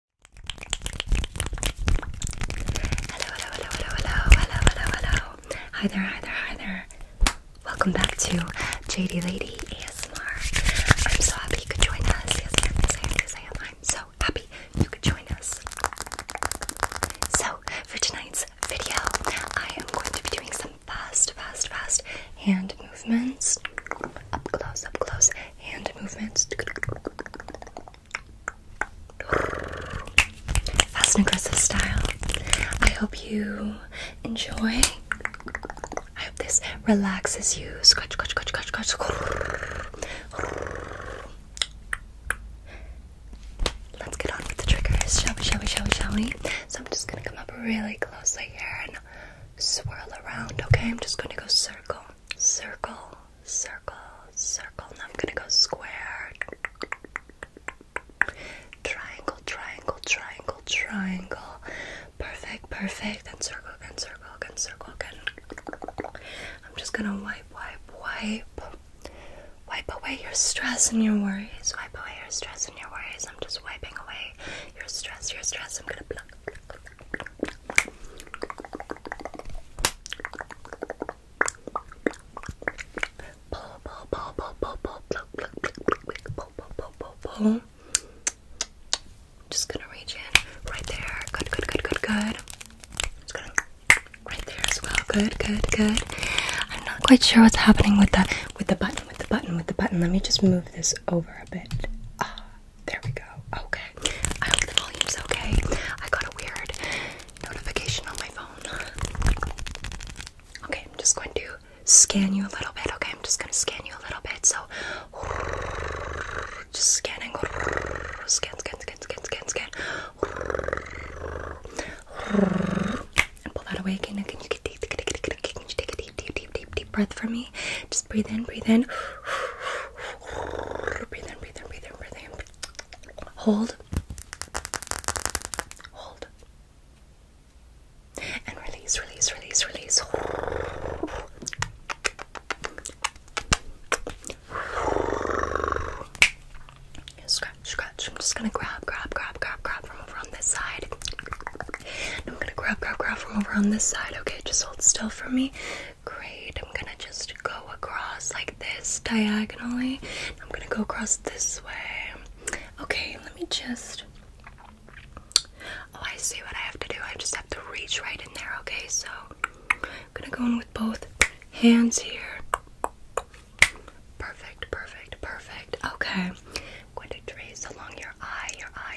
hello, hello, hello, hello, hello, hello. Hi there, hi there, hi there. Welcome back to JD Lady ASMR. I'm so happy you could join us. I'm so happy you could join us. So, for tonight's video, I am going to be doing some fast, fast, fast hand movements. Up close, up close, hand movements. Fast and aggressive style. I hope you enjoy. I hope this relaxes you. Scratch, scratch, scratch, scratch, scratch. Let's get on with the triggers, shall we, shall we, shall we, shall we? So I'm just gonna come up really closely here and swirl around, okay? I'm just gonna go circle, circle, circle, circle. Now I'm gonna go square, triangle, triangle, triangle, triangle. Perfect, perfect. Then circle, again, circle, again, circle, again. I'm just gonna wipe, wipe, wipe. Wipe away your stress and your worries. Wipe away your stress and your worries. I'm just wiping away your stress, your stress. I'm gonna pluck, just gonna reach in right there. Good, good, good, good, good. right there as well. Good, good, good. I'm not quite sure what's happening with that with the button, with the button, with the button. Let me just move this over a bit. Ah, there we go. Okay. I hope the volume's okay. I got a weird notification on my phone. Okay, I'm just going to scan you a little bit. Okay, I'm just going to scan you a little bit. So, just scanning. Scan, scan, scan, scan, scan, And pull that away again. Can you get deep? Can you take a deep, deep, deep, deep, breath for me. Just breathe in, breathe in. Hold. Hold. And release, release, release, release. Scratch, scratch. I'm just gonna grab, grab, grab, grab, grab from over on this side. I'm gonna grab, grab, grab from over on this side. Okay, just hold still for me. Great. I'm gonna just go across like this diagonally. I'm gonna go across this way. Okay, let me just. Oh, I see what I have to do. I just have to reach right in there, okay? So I'm gonna go in with both hands here. Perfect, perfect, perfect. Okay. I'm going to trace along your eye, your eye,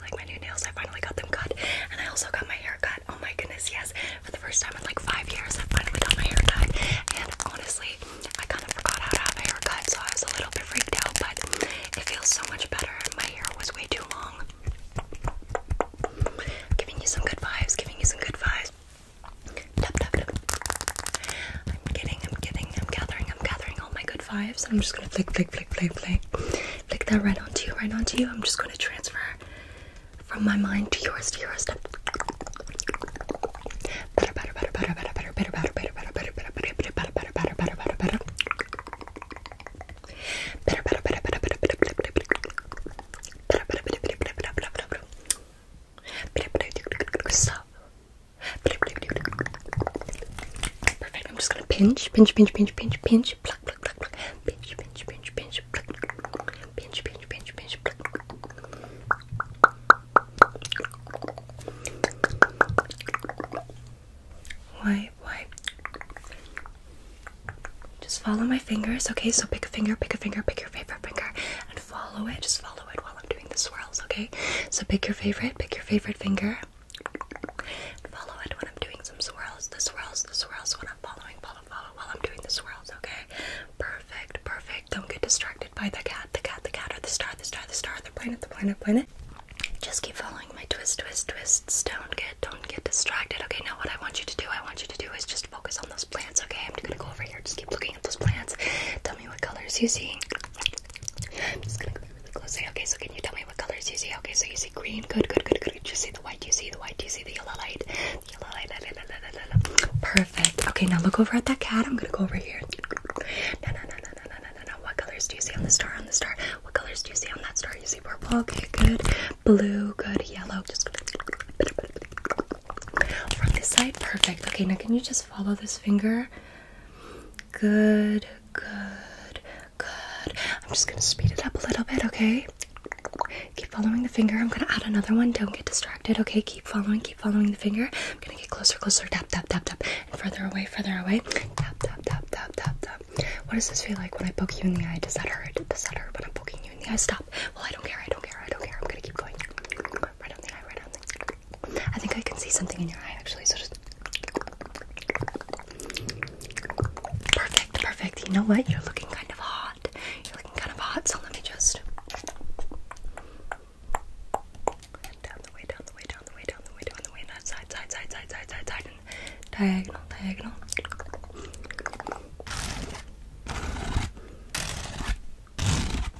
like my new nails? I finally got them cut, and I also got my hair cut. Oh my goodness, yes! For the first time in like five years, I finally got my hair cut, and honestly, I kind of forgot how to have a haircut, so I was a little bit freaked out. But it feels so much better. My hair was way too long. Giving you some good vibes. Giving you some good vibes. I'm getting, I'm getting, I'm gathering, i gathering all my good vibes, and I'm just gonna flick, flick, flick, flick, flick. Flick that right onto you, right onto you. I'm just going to transfer from my mind to yours, to yours. To... Better, better, better, better, better, better, better, better, better, better, better, better, better, better, better, better, better, better, better. Better, better, better, better, better, better, better, better, better, Perfect. I'm just gonna pinch, pinch, pinch, pinch, pinch, pinch, pluck, pluck, pluck, Just follow my fingers, okay? So pick a finger, pick a finger, pick your favorite finger, and follow it. Just follow it while I'm doing the swirls, okay? So pick your favorite, pick your favorite finger. Follow it when I'm doing some swirls. The swirls, the swirls when I'm following, follow, follow while I'm doing the swirls, okay? Perfect, perfect. Don't get distracted by the cat, the cat, the cat, or the star, the star, the star, the planet, the planet, planet. Just keep following my twist, twist, twists. Don't get don't get distracted. Okay, now what I want you to do, I want you to do is just focus on those plants, okay? I'm just gonna go over here, just keep looking at those plants. Tell me what colors you see. I'm just gonna Okay, so can you tell me what colors you see? Okay, so you see green. Good, good, good, good. You see the white. You see the white. You see the yellow light. yellow light. Perfect. Okay, now look over at that cat. I'm gonna go over here. No, no, no, no, no, no, no, no. What colors do you see on the star? On the star. What colors do you see on that star? You see purple. Okay, good. Blue. Good. Yellow. Just from this side. Perfect. Okay, now can you just follow this finger? Good. Good. Good. I'm just gonna speed it up a little bit, okay? Keep following the finger. I'm gonna add another one. Don't get distracted, okay? Keep following, keep following the finger. I'm gonna get closer, closer. Tap, tap, tap, tap. And further away, further away. Tap, tap, tap, tap, tap, tap. What does this feel like when I poke you in the eye? Does that hurt? Does that hurt when I'm poking you in the eye? Stop. Well, I don't care, I don't care, I don't care. I'm gonna keep going. Right on the eye, right on the eye. I think I can see something in your eye actually, so just Perfect, perfect. You know what? You're looking kind of hot. You're looking kind of hot, so let me just. And down the way, down the way, down the way, down the way, down the way, and side, side, side, side, side, side, side, diagonal, diagonal.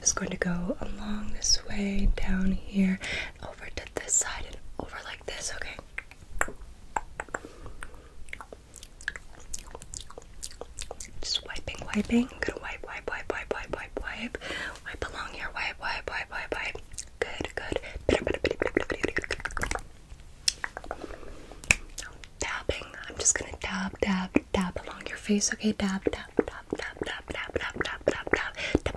Just going to go along this way, down here, over to this side, and over like this, okay? Just wiping, wiping. I'm gonna wipe, wipe, wipe, wipe, wipe, wipe, wipe. Wipe along here. Wipe, wipe, wipe, wipe, wipe. Good, good. Dabbing. I'm just gonna dab, dab, dab along your face. Okay, dab, dab, dab, dab, dab, dab, dab, dab, dab, dab, dab,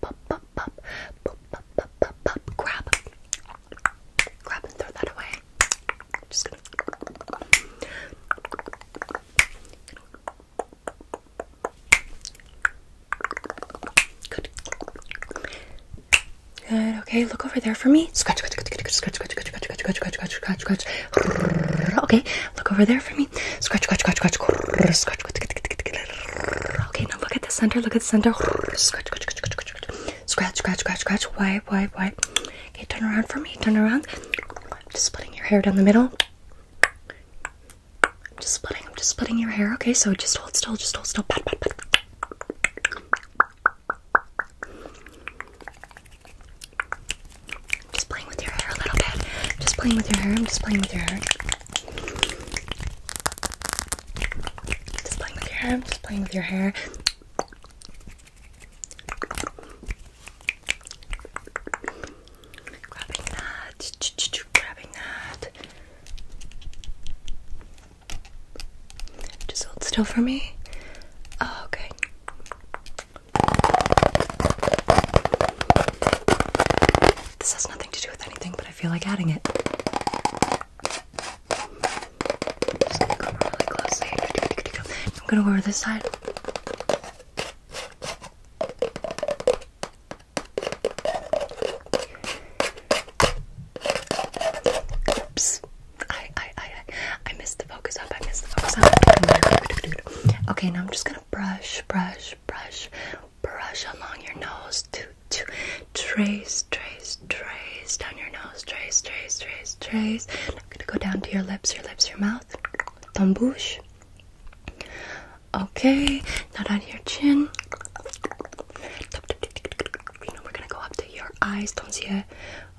pop, pop, pop, pop, pop, pop, pop, pop, pop, grab, grab and throw that away. Just gonna. Good. Good. Okay, look over there for me. Scratch, scratch, scratch, scratch, scratch, scratch, scratch, scratch, scratch, scratch, scratch, scratch. Okay, look over there for me. Scratch, scratch, scratch, scratch, scratch, scratch, scratch, scratch, Okay, now look at the center. Look at the center. Scratch, scratch, scratch, scratch, scratch, scratch, scratch. Why, why, why? Okay, turn around for me. Turn around. I'm just splitting your hair down the middle. I'm just splitting. I'm just splitting your hair. Okay, so just hold still. Just hold still. Pat, pat, pat. Just playing with your hair a little bit. Just playing with your hair. I'm just playing with your hair. Just playing with your hair, just playing with your hair. Grabbing that, grabbing that. Just hold still for me. Oh, okay. This has nothing to do with anything, but I feel like adding it. I'm gonna go really closely. I'm gonna go over this side. I, I, I, I missed the focus up. I missed the focus up. Okay, now I'm just gonna brush, brush, brush brush along your nose to to trace, trace, trace down your nose, trace, trace, trace, trace. I'm gonna go down to your lips, your lips, your mouth. Ton bouche. Okay, not on your chin. You know, we're gonna go up to your eyes, tons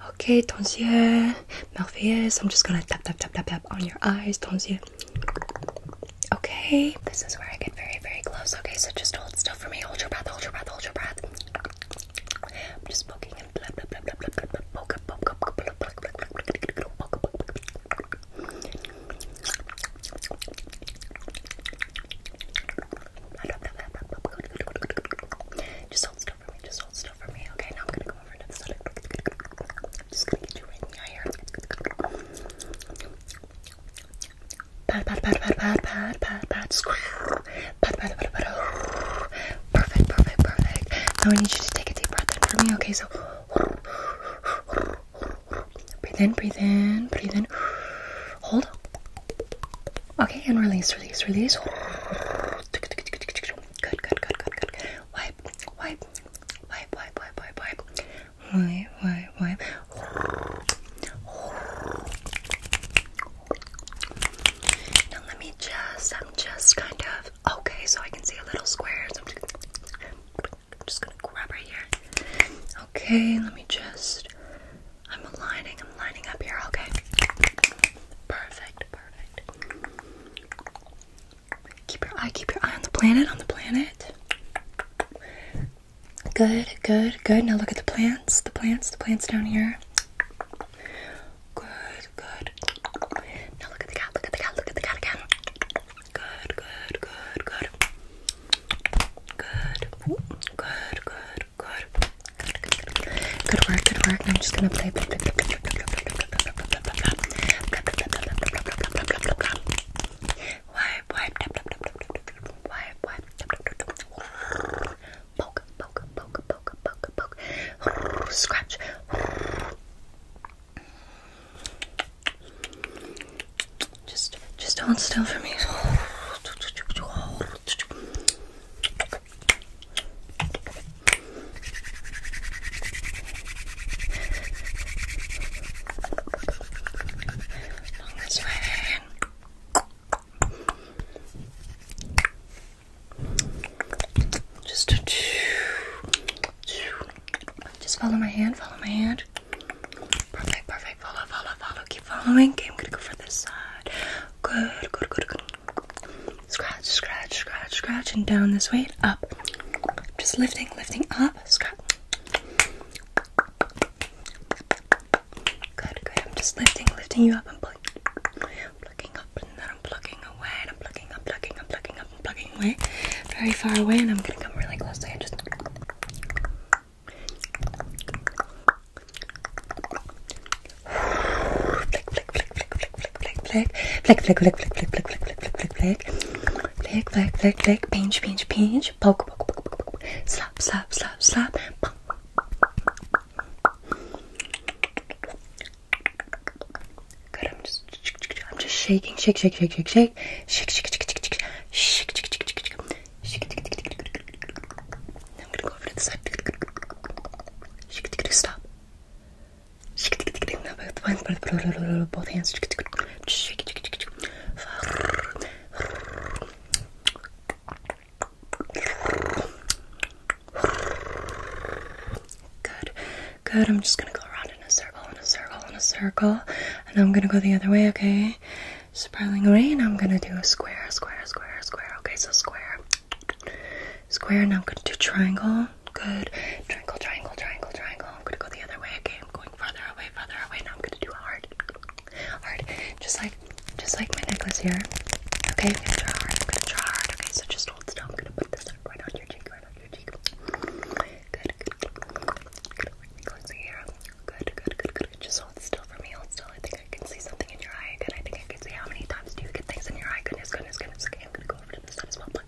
Okay, tons yeux, I'm just gonna tap, tap, tap, tap, tap on your eyes, tons yeux. Okay, this is where I get very, very close. Okay, so just hold still for me. Hold your breath, hold your breath, hold your breath. just poking just hold still for me, just hold still for me. Okay, now I'm gonna go over to the side. just get you in the eye Perfect, perfect, perfect. Now I need you to take a deep breath in for me. Okay, so breathe in, breathe in, breathe in. Hold. Okay, and release, release, release. Good, good, good, good, good. Wipe, wipe, wipe, wipe, wipe, wipe, wipe, wipe, wipe, wipe. Now let me just, I'm just kind of, okay, so I can see a little square. I'm, just, I'm just gonna grab right here. Okay, let me just, I'm aligning, I'm lining up here, okay. Perfect, perfect. Keep your eye, keep your eye on the planet, on the planet. Good, good, good. Now look at the plants, the plants, the plants down here. Good, good. Now look at the cat, look at the cat, look at the cat again. Good, good, good, good. Good, good, good, good. Good, good, good, good. Good work, good work. Now I'm just gonna play, play, play, play, play, play, play, play, play, play, play. Wipe, wipe, wipe, wipe. Poke, poke, poke, poke, poke, poke. Scratch. Just, just hold still for me. Long way. Just a Just follow my hand, follow my hand. Perfect, perfect. Follow, follow, follow. Keep following. I'm gonna go for this side. Good, good, good, good. Scratch, scratch, scratch, scratch, and down this way. Up. Just lifting lifting, up. Scrap. Good, good. I'm just lifting, lifting you up. I'm plucking, up, and then I'm plucking away, and I'm plucking up, plucking up, plucking up, and away, very far away. And I'm gonna come really close to you. Just. flick, flick, flick, flick, flick, flick, flick, flick, flick, flick, flick, flick, flick, flick, flick, pinch, pinch, pinch, poke, poke, poke, poke, poke, slap, slap, slap, slap. Good. I'm just, I'm just shaking, shake, shake, shake, shake, shake, shake, shake, shake, shake, shake, shake, shake, shake, shake. I'm gonna go over to the side. Shake, stop. Good, good. I'm just gonna go around in a circle, in a circle, in a circle, and I'm gonna go the other way, okay? Spiraling away, and I'm gonna do a square, square, square, square. Okay, so square, square, and I'm gonna do triangle, Good. Triangle, triangle, triangle, triangle. I'm gonna go the other way. Okay, I'm going farther away, farther away. Now I'm gonna do a heart. Just like just like my necklace here. Okay, I'm gonna draw hard. I'm gonna draw hard. Okay, so just hold still. I'm gonna put this right on your cheek, right on your cheek. Good, good. Good. Close Good, good, good, good. Just hold still for me. Hold still. I think I can see something in your eye. Good. I think I can see how many times do you get things in your eye. Goodness, goodness, goodness. Okay, I'm gonna go over to this as well. good.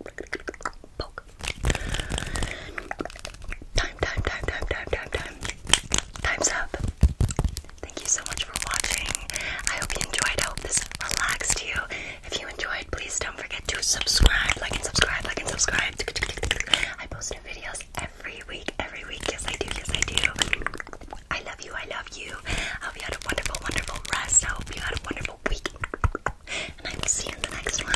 Time, time, time, time, time, time, time. Time's up. Thank you so much for watching. I hope you enjoyed. I hope this relaxed you. If you enjoyed, please don't forget to subscribe, like and subscribe, like and subscribe. I post new videos every week, every week. Yes, I do. Yes, I do. I love you. I love you. I hope you had a wonderful, wonderful rest. I hope you had a wonderful week and I will see you in the next one.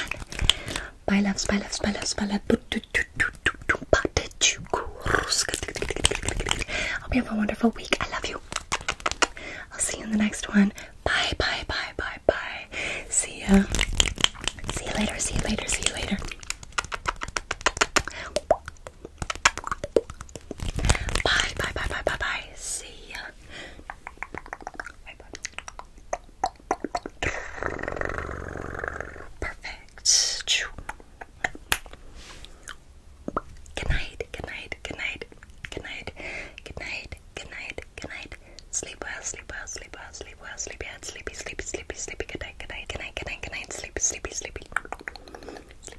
Bye love, bye love, bye love, bye loves. Hope you have a wonderful week. I love you. I'll see you in the next one. Bye, bye, bye, bye, bye. See ya. See you later, see you later, see you later. Bye, bye, bye, bye, bye, bye. See ya. Perfect. Good night, good night, good night, good night, good night, good night, good night. Sleep well, sleep well, sleep well, sleep well, sleep out, sleepy, sleepy, sleepy, sleepy, good night, good night, good night, good night, good night, sleepy, sleepy, sleepy. Sleepy, sleepy.